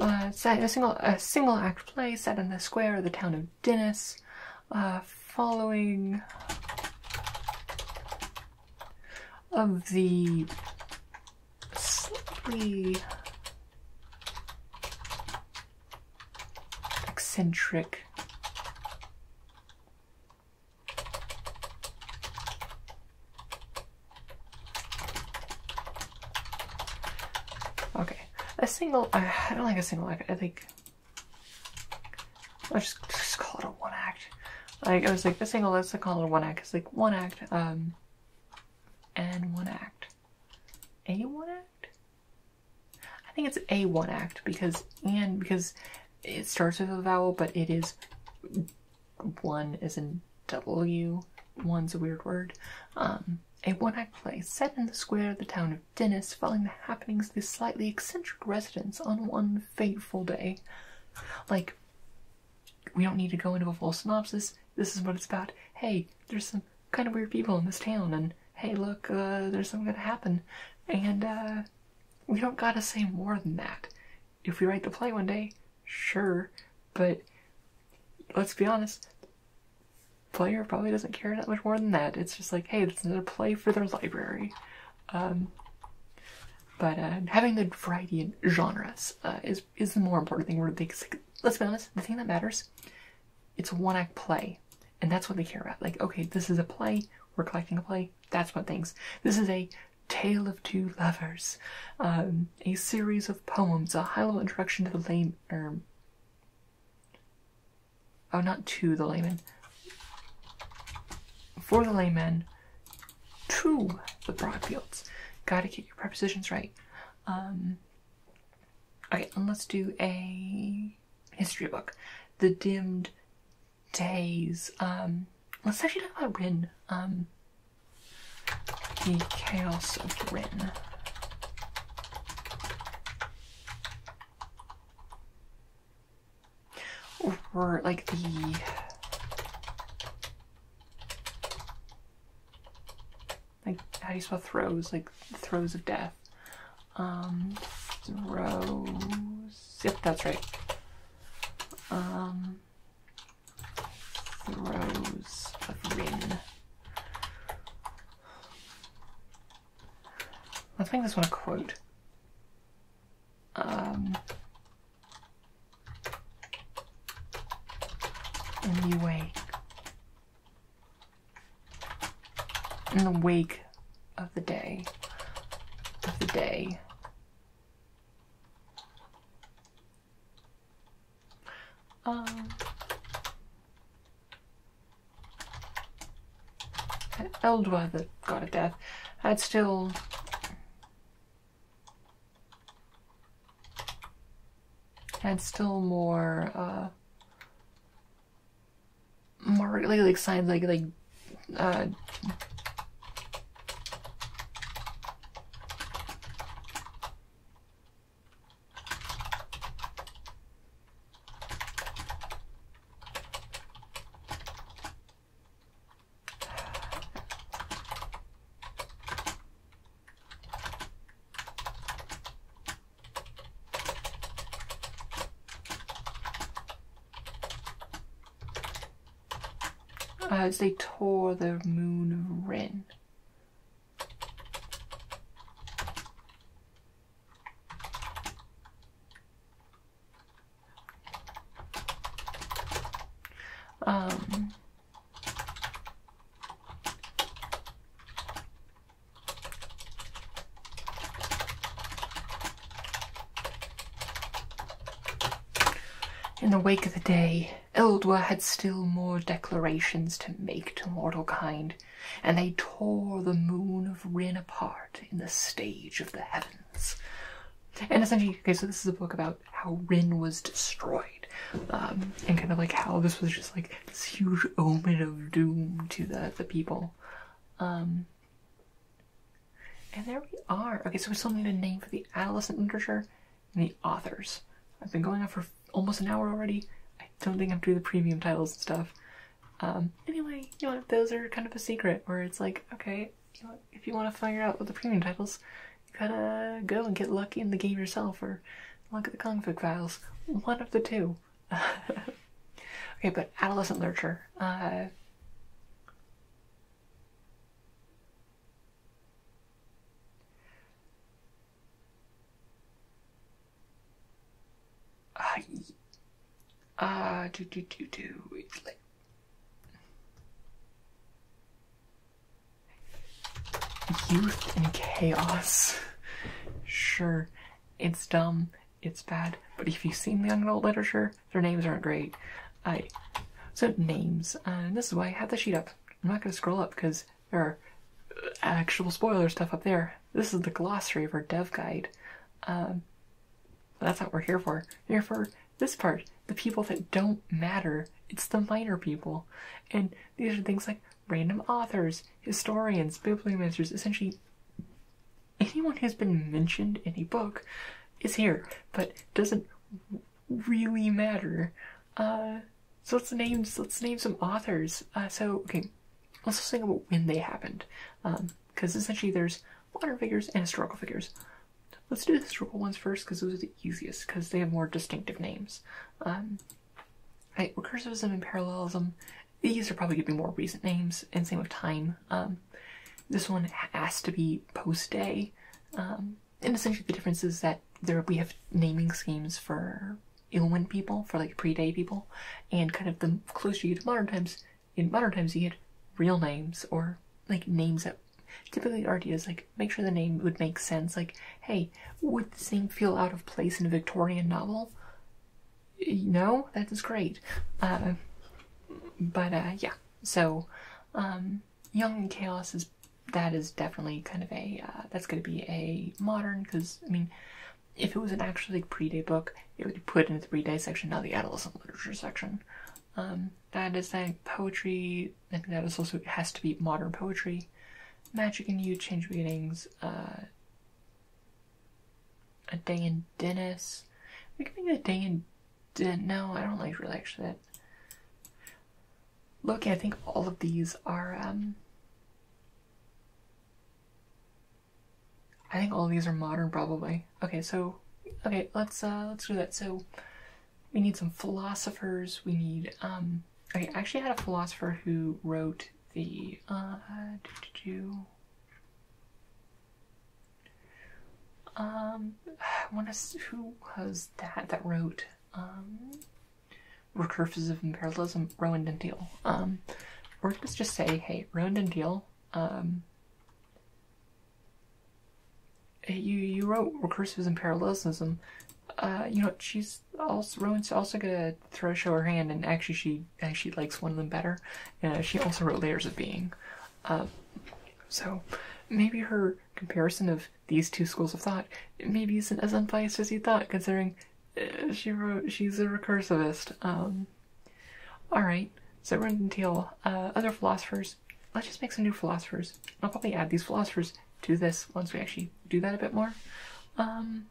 Speaker 1: Uh, set a single a single act play set in the square of the town of Dennis, uh, following of the slightly eccentric. Okay, a single, uh, I don't like a single act, I think, I'll just, just call it a one act. Like, I was like, a single, let's call it a one act. It's like, one act, um, and one act. A one act? I think it's a one act because and because it starts with a vowel, but it is one is in W. One's a weird word. Um, a one-act play set in the square of the town of Dennis, following the happenings of the slightly eccentric residents on one fateful day. Like, we don't need to go into a full synopsis. This is what it's about. Hey, there's some kind of weird people in this town, and hey, look, uh, there's something gonna happen. And uh, we don't gotta say more than that. If we write the play one day, sure, but let's be honest, player probably doesn't care that much more than that. It's just like, hey, it's another play for their library. Um, but uh, having the variety in genres is is the more important thing. Where they, let's be honest, the thing that matters, it's one act play, and that's what they care about. Like, okay, this is a play. We're collecting a play. That's what things. This is a tale of two lovers, um, a series of poems, a high-level introduction to the lame. Er, oh, not to the layman. For the layman, True, the broad fields. Gotta keep your prepositions right. Um, okay, and let's do a history book. The Dimmed Days. Um, let's actually talk about Rin. Um, the Chaos of Rin. Or like the like how do you spell throes? Like throes of death. Um, throes. Yep, that's right. Um, throes of Rin. Let's make this one a quote. Um, and you wake in the wake of the day of the day um Eldworth that got a death I'd still had still more uh more like like like like uh, uh, as they tore the moon of Ren. Um, in the wake of the day, Eldwa had still more declarations to make to mortal kind, and they tore the moon of Rin apart in the stage of the heavens. And essentially, okay, so this is a book about how Rin was destroyed, um, and kind of like how this was just like this huge omen of doom to the the people. Um, and there we are. Okay, so we still need a name for the adolescent literature and the authors. I've been going on for almost an hour already. I don't think I'm doing the premium titles and stuff. Um, anyway, you know, those are kind of a secret where it's like, okay, you know, if you want to figure out what the premium titles, you gotta go and get lucky in the game yourself or look at the Kung Fu Files. One of the two. okay, but adolescent literature. Uh, uh, do do do do it's like Youth and chaos. Sure, it's dumb, it's bad, but if you've seen the young adult literature, their names aren't great. I so names, uh, and this is why I have the sheet up. I'm not going to scroll up because there are uh, actual spoiler stuff up there. This is the glossary of our dev guide. Um, that's what we're here for. here for this part the people that don't matter. It's the minor people. And these are things like random authors, historians, bibliomancers, essentially anyone who's been mentioned in a book is here, but doesn't really matter. Uh, so let's name let's name some authors. Uh, so okay, let's think about when they happened, because um, essentially there's modern figures and historical figures. Let's do the historical ones first because those are the easiest because they have more distinctive names. Um, recursivism and parallelism. These are probably going to be more recent names, and same with time. Um, this one has to be post-day, um, and essentially the difference is that there we have naming schemes for Ilmen people, for like pre-day people, and kind of the closer you get to modern times, in modern times you get real names or like names that typically art is like make sure the name would make sense. Like, hey, would the name feel out of place in a Victorian novel? No, that is great. Uh, but uh, yeah, so um, Young Chaos is that is definitely kind of a uh, that's going to be a modern because I mean, if it was an actually pre-day book, it would be put in the pre-day section, not the adolescent literature section. Um, that is like poetry. I think that is also has to be modern poetry. Magic and you change meanings. Uh, a day in Dennis. I can make a day in. No, I don't like really actually that. Look, I think all of these are. Um, I think all of these are modern, probably. Okay, so okay, let's uh let's do that. So we need some philosophers. We need um I actually had a philosopher who wrote the uh um I want to who was that that wrote um recursive imperialism Rowan Dendeal. Um or let's just say hey Rowan Dendeal um you you wrote recursivism and parallelism. Uh, you know she's also Rowan's also gonna throw show her hand, and actually she actually likes one of them better. Uh, she also wrote Layers of Being, uh, so maybe her comparison of these two schools of thought maybe isn't as unbiased as you thought, considering uh, she wrote she's a recursivist. Um, all right, so we're gonna deal uh, other philosophers. Let's just make some new philosophers. I'll probably add these philosophers to this once we actually do that a bit more. Um,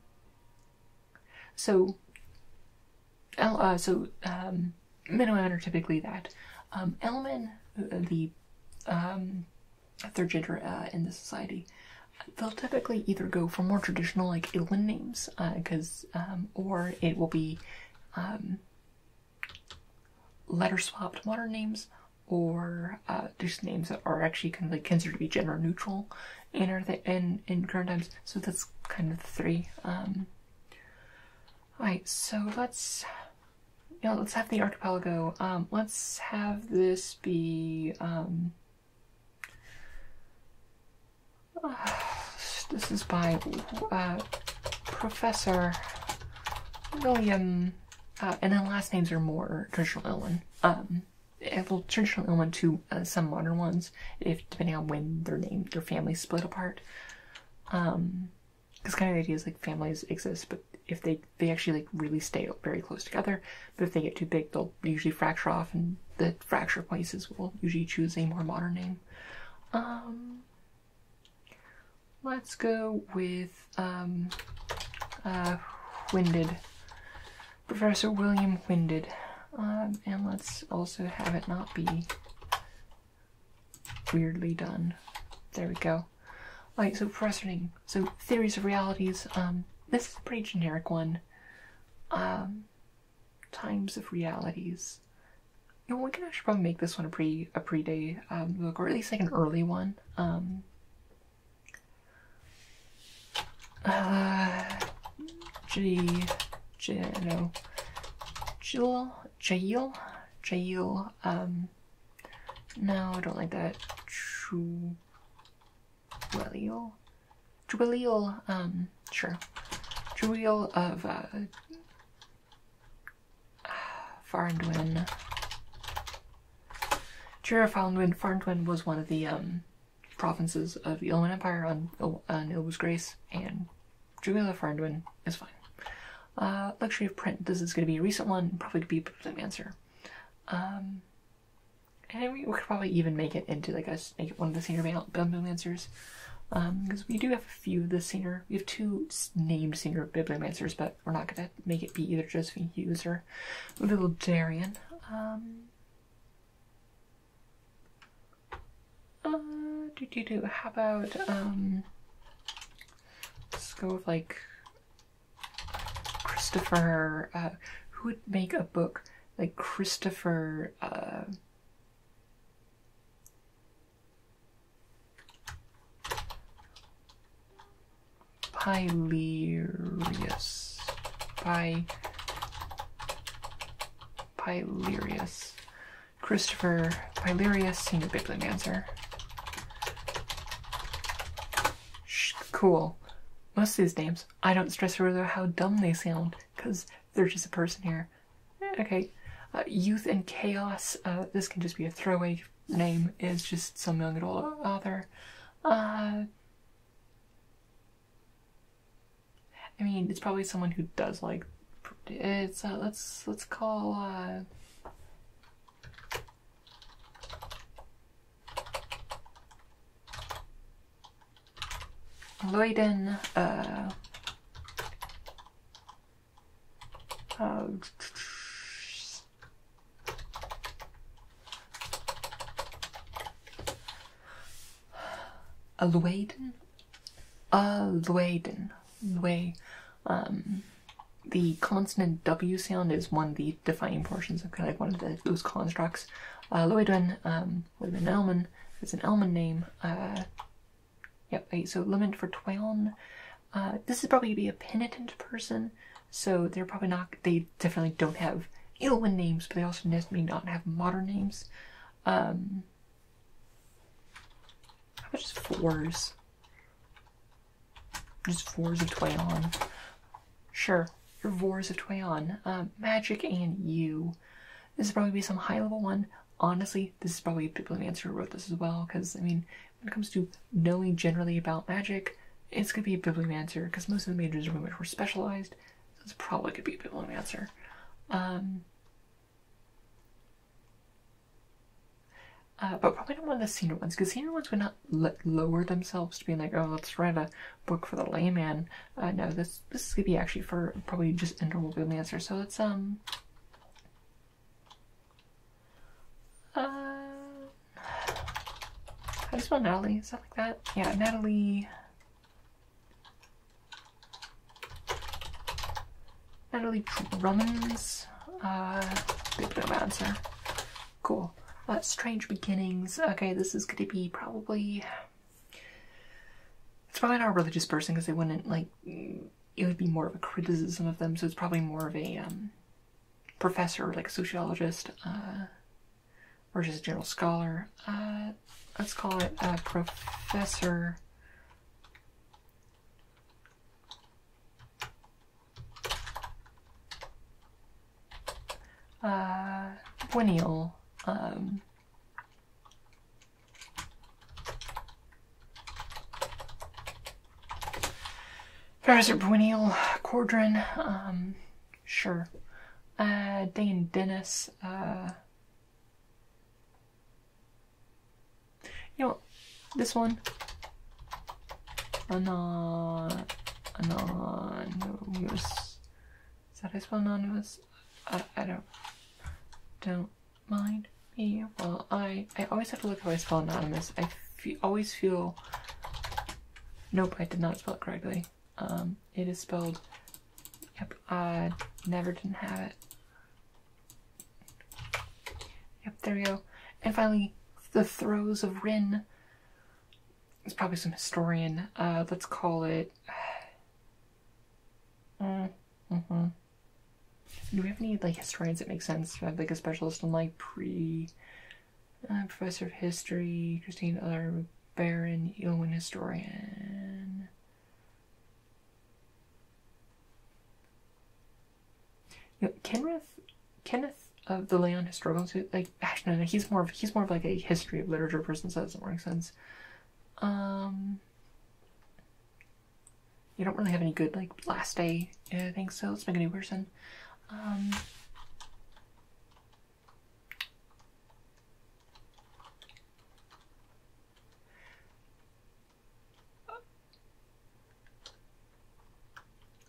Speaker 1: so, uh, so um, Minoan are typically that. Um, Elman, uh, the um, third gender uh, in the society, they'll typically either go for more traditional like Illidan names, because uh, um, or it will be um, letter swapped modern names, or just uh, names that are actually kind of considered to be gender neutral in our in in current times. So that's kind of three. Um, all right, so let's you let's have the archipelago. Um, let's have this be. Um, this is by uh, Professor William uh, and then last names are more traditional Illinois. Um, eh, well, traditional Illinois to uh, some modern ones, if depending on when their name, their families split apart. This kind of idea is like families exist, but if they they actually like really stay very close together, but if they get too big, they'll usually fracture off, and the fracture places will usually choose a more modern name. Um, Let's go with um, uh, Winded, Professor William Winded. Um, and let's also have it not be weirdly done. There we go. Alright, so Professor So, Theories of Realities. Um, this is a pretty generic one. Um, times of Realities. You know, we can actually probably make this one a pre a pre day um, book, or at least like an early one. Um, uh, G, G, no, Jewel, Jail, Jail, um, no, I don't like that. Jewelial, Jewelial, um, sure. Jewelial of, uh, Farndwin. Jura Farndwin. Farndwin was one of the um, provinces of the Ilman Empire on, on Ilbu's Grace, and Julia Farndwin is fine. Uh, luxury of print. This is going to be a recent one, probably going to be a answer. Um, and we, could probably even make it into like a make it one of the senior bibliomancers. Bam- um, because we do have a few of the senior, we have two named senior bibliomancers, but we're not gonna make it be either Josephine Hughes or Little Darian. Um, uh, do do do. How about um, let's go with like Christopher. Uh, who would make a book like Christopher? Uh, Pylerius. Py. Pylerius. Christopher Pylerius, senior bibliomancer. Shh, cool. Most of names, I don't stress over how dumb they sound, because they're just a person here. Eh, okay. Uh, youth and Chaos, uh, this can just be a throwaway name is just some young adult author. Uh, I mean, it's probably someone who does like. It's uh, let's let's call. Uh, uh, uh Alwaden, Alwaden, uh, way. Um, the consonant W sound is one of the defining portions of kind of one of those constructs. Uh, um, would have been an Elman. It's an Elman name. Uh, yep, so lament for Twailn uh, this is probably be a penitent person, so they're probably not. They definitely don't have Elwyn names, but they also may not have modern names. Um, how about just fours? Just fours of Twayon. Sure, you fours of Twayon. Um, magic and you. This is probably be some high level one. Honestly, this is probably people a bibliomancer who wrote this as well, because I mean, when it comes to knowing generally about magic, it's going to be a bibliomancer because most of the majors are much more specialized. So it's probably going to be a bibliomancer. Um, uh, but probably not one of the senior ones because senior ones would not lower themselves to being like, oh, let's write a book for the layman. Uh, no, this this is going to be actually for probably just a normal bibliomancer. So it's um. Uh, how do you Natalie? Is that like that? Yeah, Natalie. Natalie Drummond's uh, answer. Cool. Uh, strange beginnings. Okay, this is going to be probably. It's probably not a religious person because they wouldn't like. It would be more of a criticism of them, so it's probably more of a um, professor, like sociologist, uh, or just a general scholar. Uh, let's call it a Professor uh, Winiel, um, Ferrocerbuineal Cordron, um, sure. Uh, Dane Dennis, uh, you know, this one. anonymous. Is that how you spell anonymous? I, don't, don't mind me. Well, I, I always have to look how I spell anonymous fe always feel. Nope, I did not spell it correctly. Um, it is spelled. Yep, I never didn't have it. Yep, there we go. And finally, the throes of Rin. It's probably some historian. Uh, let's call it. Mm, mm -hmm. Do we have any like historians that make sense? have like a specialist in like pre uh, professor of history, Christine Eller, Baron, Yeoman historian. You know, Kenneth, Kenneth of the Leon Historical like actually, no, he's more of he's more of like a history of literature person, so that doesn't make sense. Um, you don't really have any good like last day uh, things, so let's make worse. new person. Um,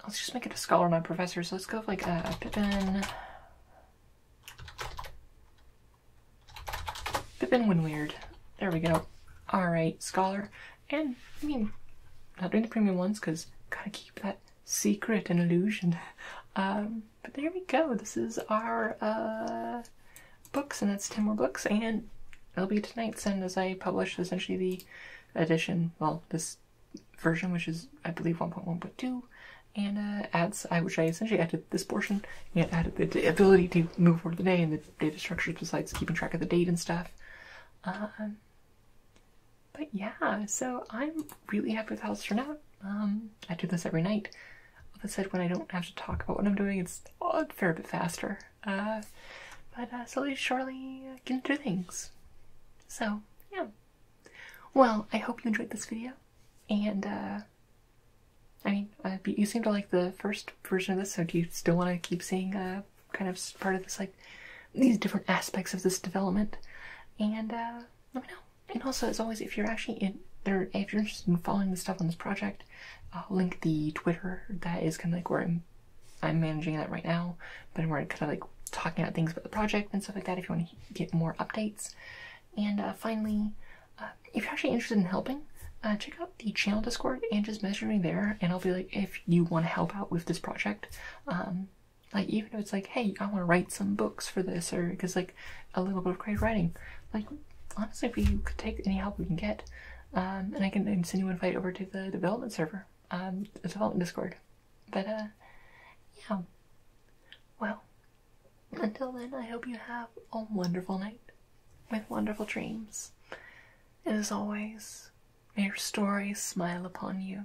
Speaker 1: let's just make it a scholar, my professor. So let's go with like a Pippin. Pippin weird. There we go. All right, scholar and I mean, not doing the premium ones because gotta keep that secret and illusion. Um, but there we go. This is our uh, books, and that's ten more books, and it'll be tonight's end as I publish essentially the edition. Well, this version, which is I believe 1.1.2, and uh, adds I which I essentially added this portion and added the, ability to move forward the day and the data structures besides keeping track of the date and stuff. Um, but yeah, so I'm really happy with how it's turned out. Um, I do this every night. That said, when I don't have to talk about what I'm doing, it's a fair bit faster. Uh, but uh, slowly, surely, uh, getting through things. So yeah. Well, I hope you enjoyed this video, and uh, I mean, uh, you seem to like the first version of this, so do you still want to keep seeing uh, kind of part of this like these different aspects of this development and uh, let me know and also as always if you're actually there if you're interested in following the stuff on this project i'll link the twitter that is kind of like where i'm i'm managing that right now but where i'm kind of like talking about things about the project and stuff like that if you want to get more updates and uh, finally uh, if you're actually interested in helping check out the channel discord and just message me there and i'll be like if you want to help out with this project um, like even if it's like, hey, I want to write some books for this, or because like a little bit of great writing. Like honestly, we could take any help we can get, um, and I can send you an fight over to the development server, um, the development Discord. But uh, yeah. Well, until then, I hope you have a wonderful night with wonderful dreams. And as always, may your stories smile upon you.